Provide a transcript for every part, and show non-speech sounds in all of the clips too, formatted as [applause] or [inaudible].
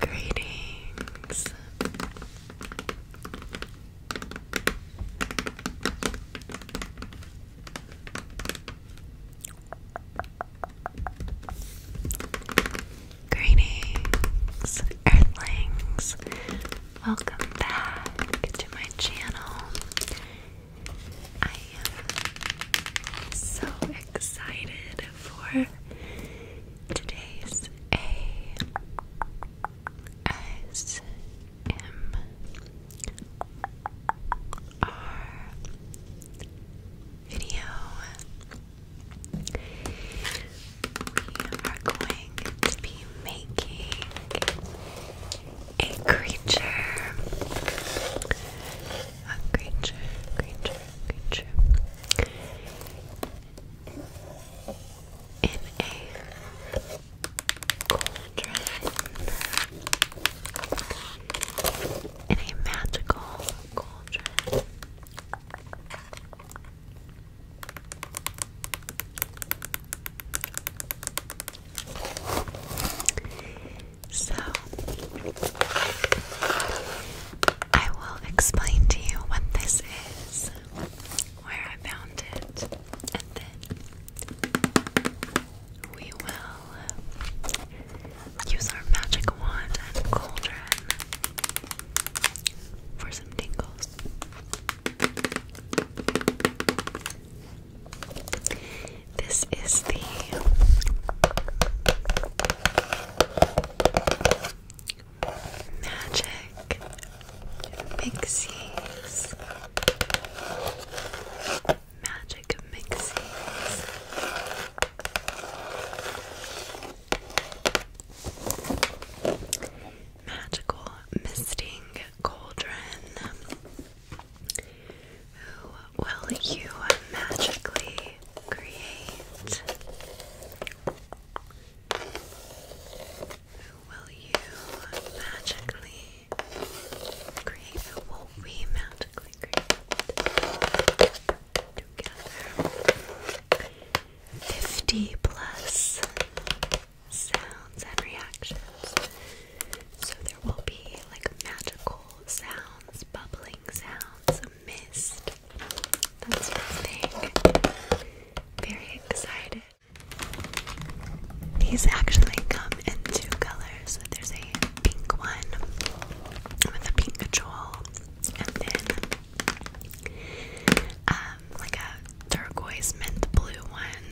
Greetings. Greetings, Earthlings. Welcome back to my channel. I am so excited for today's ASMR video. We are going to be making a creature a creature, creature, creature in a cauldron, in a magical cauldron. So, I will explain to you what this is, where I found it, and then we will use our magic wand and cauldron for some tingles. This is the Magic Mixies. Magic Mixies. Magical Misting Cauldron. Who will you magically create? Who will you magically create? Who will we magically create? Together. 50 plus sounds and reactions. So there will be like magical cool sounds, bubbling sounds, mist, that sort of thing. Very excited. These actually come in two colors. There's a pink one with a pink control, and then um, like a turquoise mint blue one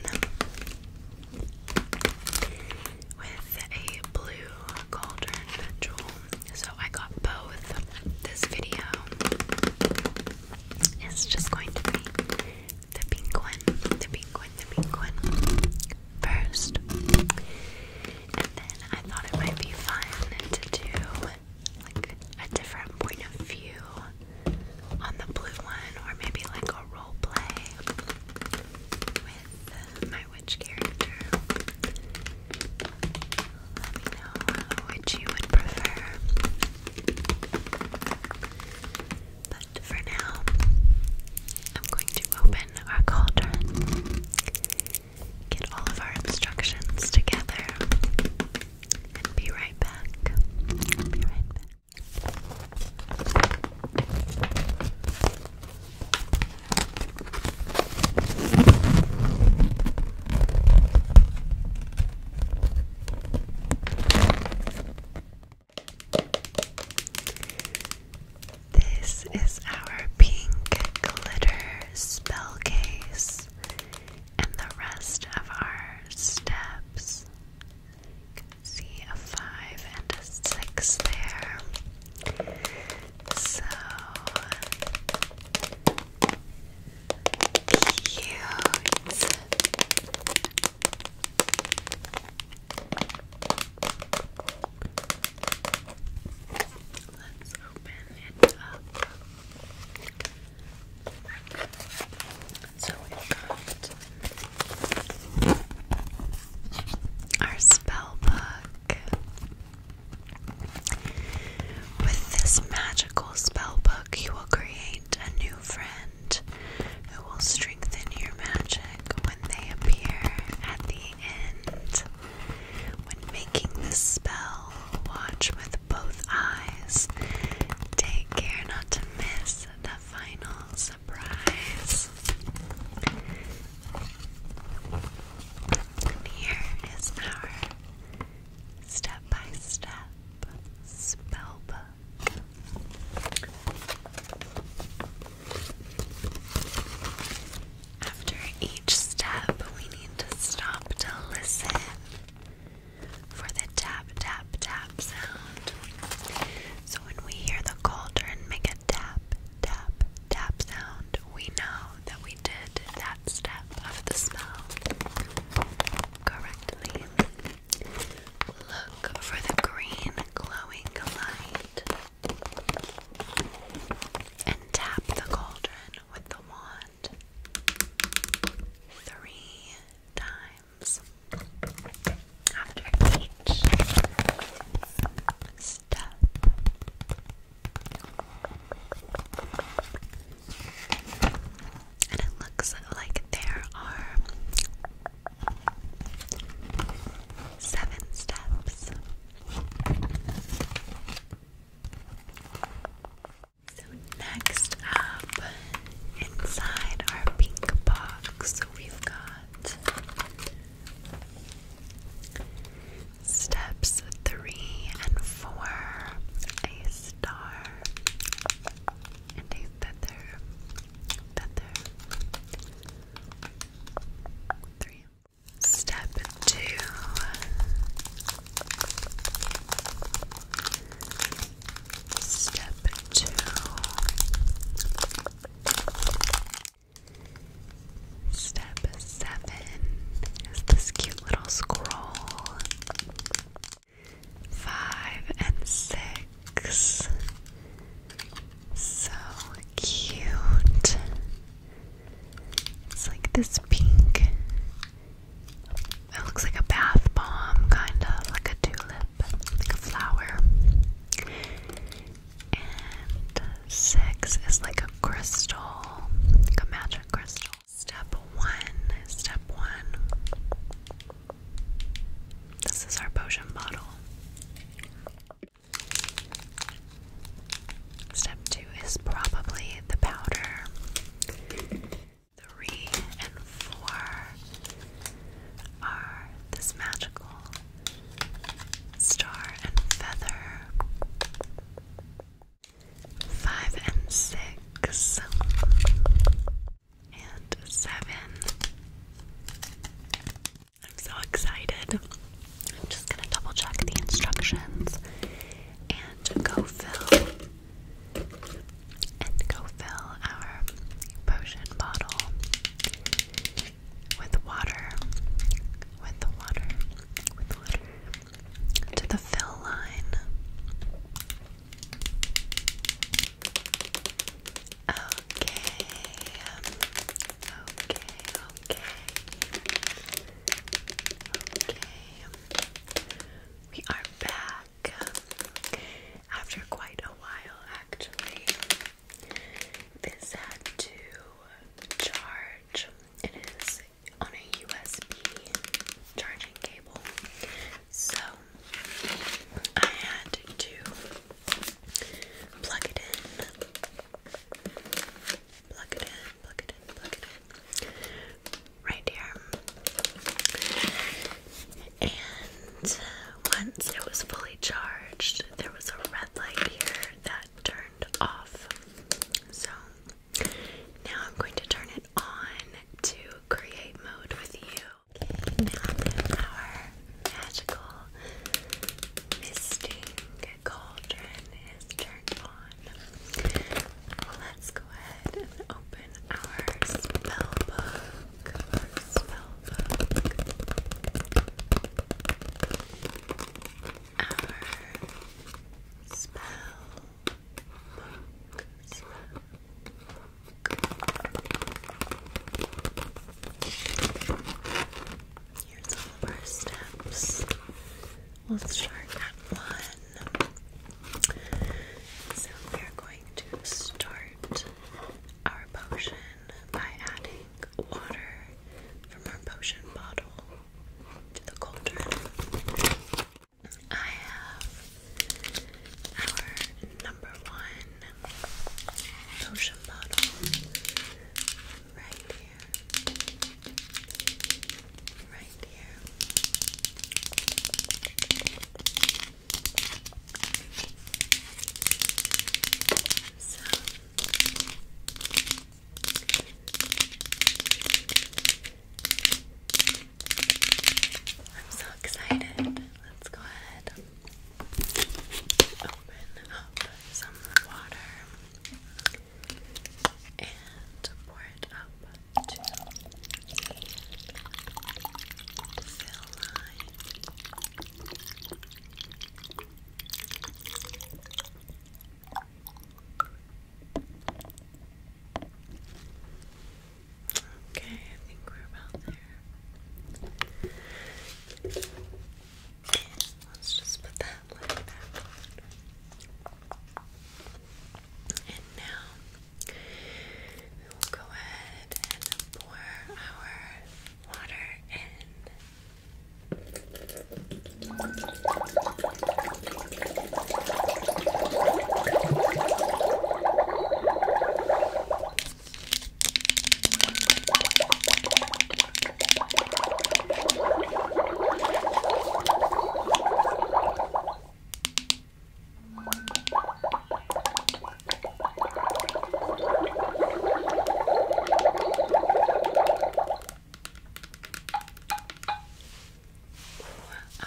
with a blue cauldron jewel. So I got both. This video is just going to be the pink one, the pink one, the pink one first. And then I thought it might be fun to do like a different point of view on the blue one, or maybe like a role play with my which character. Let me know uh, which you would prefer. But for now, I'm going to open our cauldron, get all of our instructions together, and be right back. Be right back. This is our pink glitter spell case and the rest of our steps see a five and a six there. So cute. Let's open it up. So we got our spell book. With this magical spell book, you will create a new friend who will strengthen your magic when they appear at the end. When making the spell, watch with both eyes. Take care not to miss the final. So here is our step by step spell After each step, we need to stop to listen for the tap, tap, tap sound. So when we hear the cauldron make a tap, tap, tap sound, we know that we did that step of the spell correctly. Look for the green glowing light and tap the cauldron with the wand three times after each step. And it looks like there are seven steps. So, next up, inside our pink box, we've got Steps three and four a star Step two. Step two. Step seven is this cute little scroll. Five and six. So cute. It's like this pink. It looks like a bath bomb, kind of like a tulip, like a flower. And six is like a crystal, like a magic crystal. Step one, step one. This is our potion bottle. Step two is probably the powder. Three and four are this magical Star and Feather. Five and six. And seven. I'm so excited. I'm just gonna double check the instructions and go fill and go fill our potion bottle with water, with the water, with water to the fill line. Okay, okay, okay, okay. We are back after quite a while, actually. This had to charge. It is on a USB charging cable. So I had to plug it in. Plug it in, plug it in, plug it in. Right here. And once it was fully charged, there was a red light here that turned off. So now I'm going to turn it on to create mode with you. Okay, now our magical misting cauldron is turned on, let's go ahead and open our spell book. Our Spell book. Here's all of our steps. Let's start at one. So we are going to start our potion by adding water from our potion bottle to the cauldron. I have our number one potion bottle right here. Right here. I'm so excited. Let's go ahead open up some water and pour it up to the fill line. Okay, I think we're about there. let's just put that lid back And now we will go ahead and pour our water in.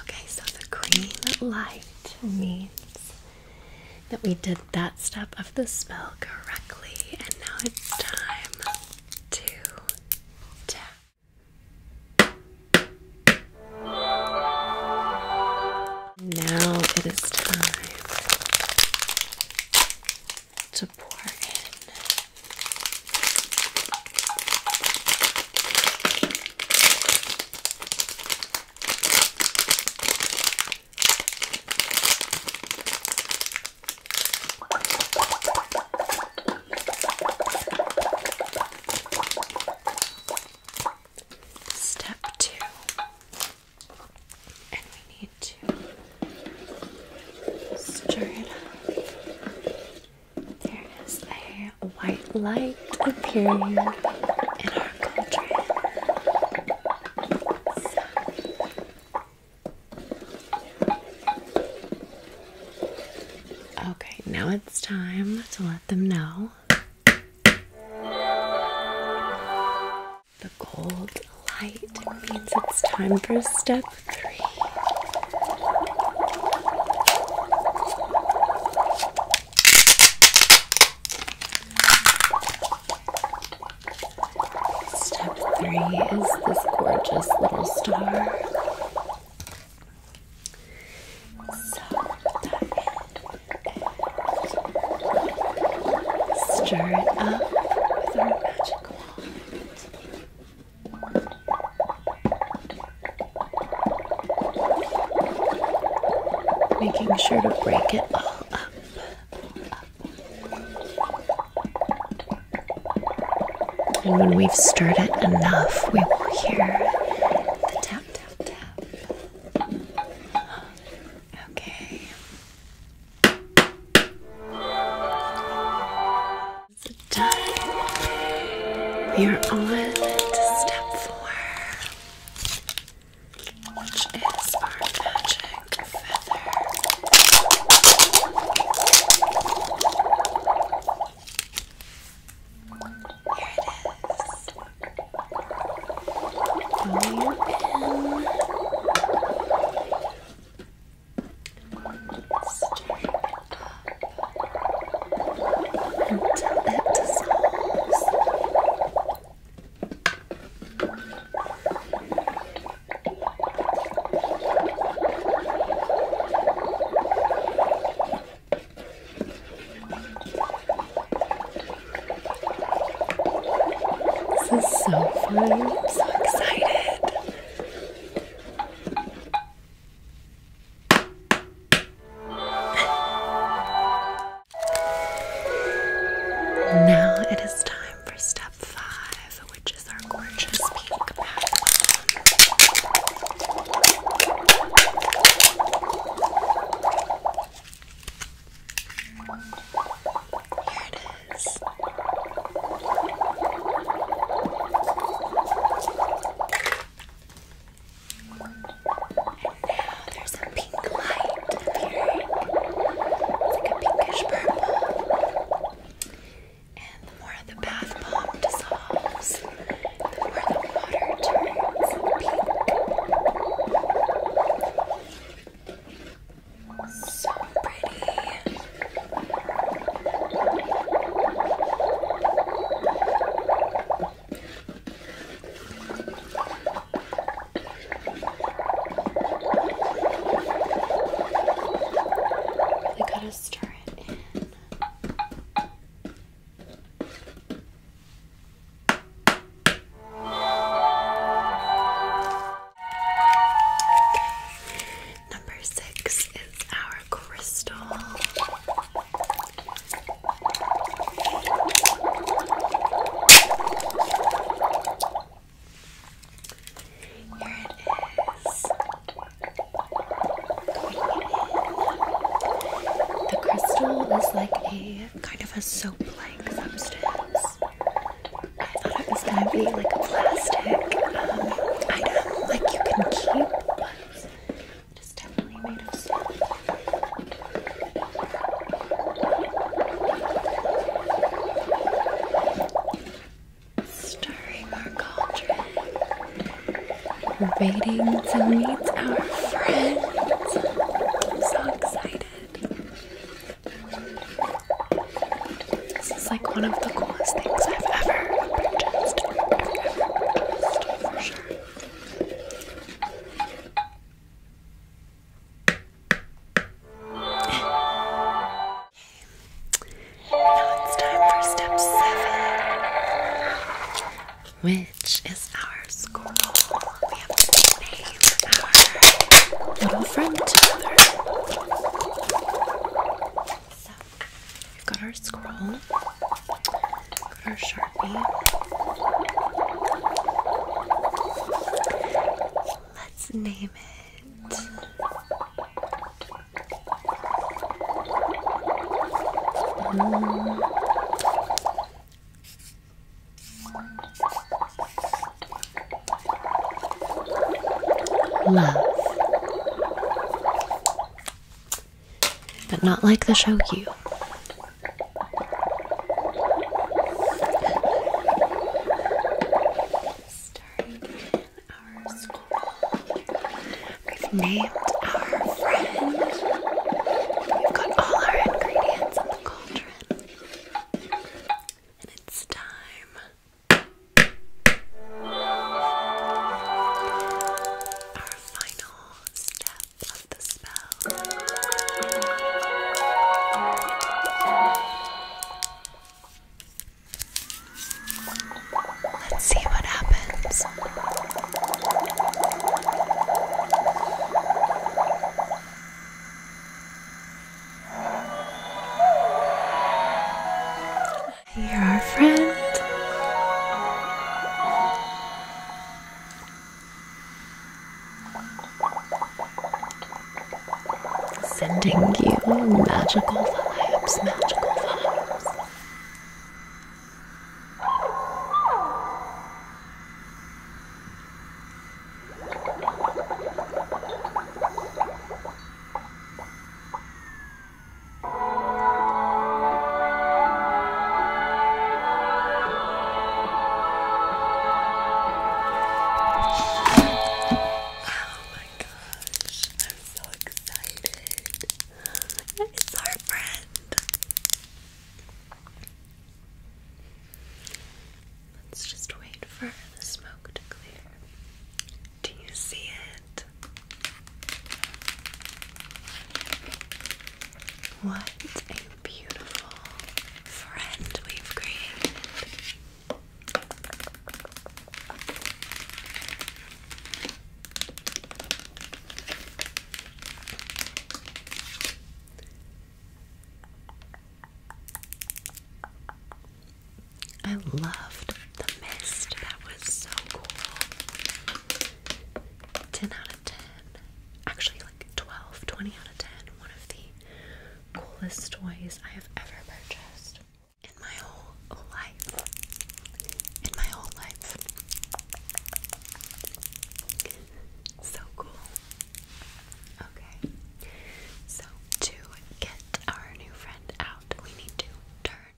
Okay, so the green light means that we did that step of the spell correctly, and now it's time to tap. Now it is time to pour in Step two and we need to stir it up. There is a white light appearing in our cauldron. Okay, now it's time to let them know. The gold light means it's time for step three. Step three is this gorgeous little star. So that Stir it up with our magic wand. Making sure to break it all up. And when we've stirred it enough, we will hear the tap, tap, tap. Okay. done. We are on to step four, which is our magic feather. Here it is. Follow your pen. Stir it up until it dissolves. This is so fun. I'm so excited. now it is time for step five, which is our gorgeous pink palette. Here it is. And now there's a pink light appearing. It's like a pinkish purple. And the more the bath bomb dissolves, the more the water turns pink. So pretty. You gotta stir it in. Number six is our crystal. Here it is. The crystal is like a kind of a soap like substance. I thought it was gonna be like a plastic um, item, like you can keep, but it's definitely made of soap. Stirring our cauldron, waiting to meet our friend. I'm so excited. This is like one of the coolest things I've ever purchased. [sighs] Now it's time for step seven which is our scroll? We have to name our little friend together. So, we've got our squirrel, our sharpie. Let's name it. Hmm. Love. But not like the shoyu. Starting our school, we've named our friend. We've got all our ingredients in the it's time. Our final step of the spell. Let's see what happens. You're our friend. Sending you magical vibes, magical vibes. Oh my gosh, I'm so excited. It's our friend. Let's just wait for the smoke to clear. Do you see it? What a beautiful friend we've created. I loved the mist. That was so cool. 10 out of 10. Actually, like 12, out of 10. One of the coolest toys I have ever purchased in my whole life. In my whole life. So cool. Okay. So to get our new friend out, we need to turn.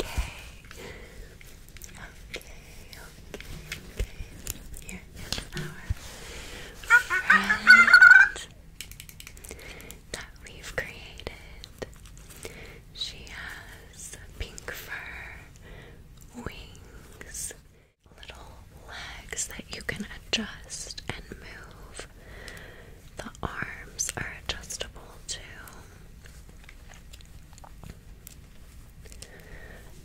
Okay. Okay, okay, Here is our friend that we've created. She has pink fur, wings, little legs that you can adjust and move. The arms are adjustable too.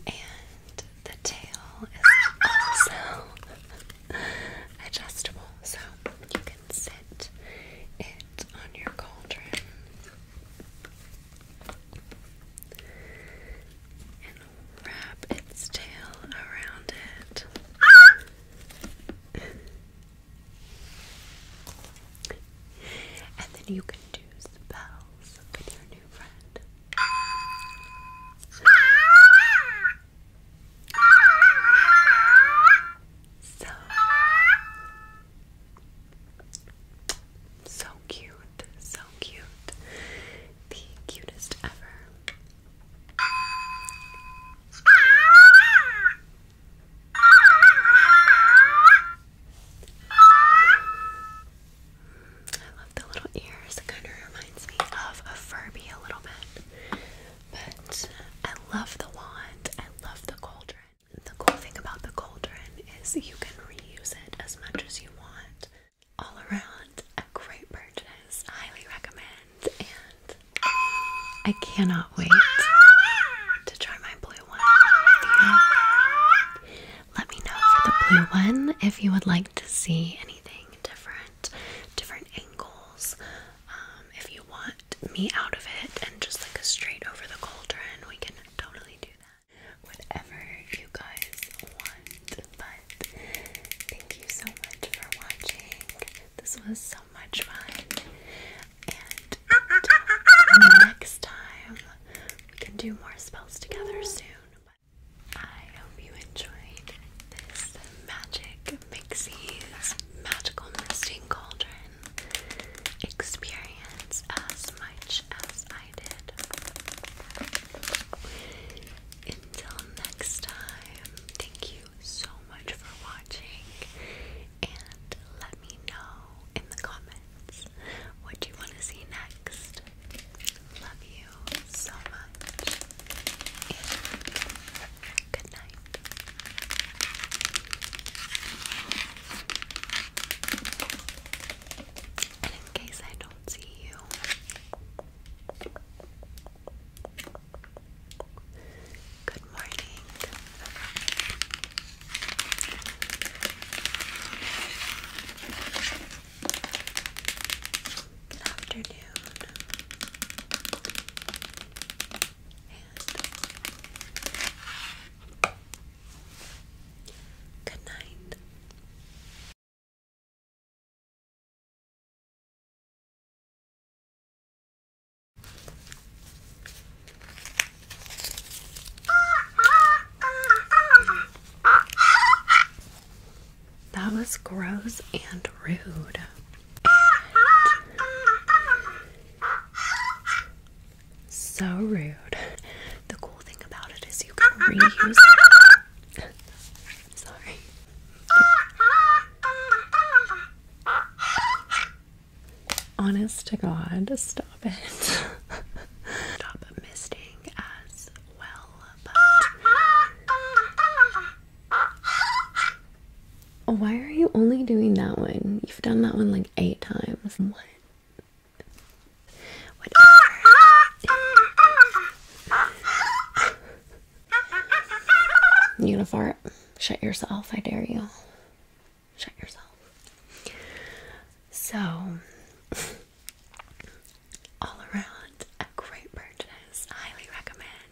And the tail is also [laughs] adjustable, so you can can it on your cauldron. And wrap its tail around it. and then you can do spells with your new friend. So so cute, so cute. The cutest ever. I love the little ears. It kind of reminds me of a Furby a little bit. But I love the wand. I love the cauldron. The cool thing about the cauldron is you can reuse it as much as you want. All around, a great purchase. Highly recommend. And I cannot wait to try my blue one with you. Let me know for the blue one if you would like to see anything different, different angles. Um, if you want me out of it and just like a straight over the cauldron, we can totally do that. Whatever you guys want. But thank you so much for watching. This was so much fun. And next time, we can do more spells together soon. I hope you enjoyed this magic Mixie's magical misting cauldron experience as much as I did. Until next time, thank you so much for watching and let me know in the comments what you want to see next. Love you so much and good night in case I don't see you, good morning. afternoon good night. That was gross and rude. So rude. The cool thing about it is you can reuse it. sorry. Honest to God, stop it. stop misting as well, why are you only doing that one? You've done that one like eight times. What? you gonna fart? Shut yourself, I dare you. Shut yourself. So, [laughs] all around, a great purchase. Highly recommend.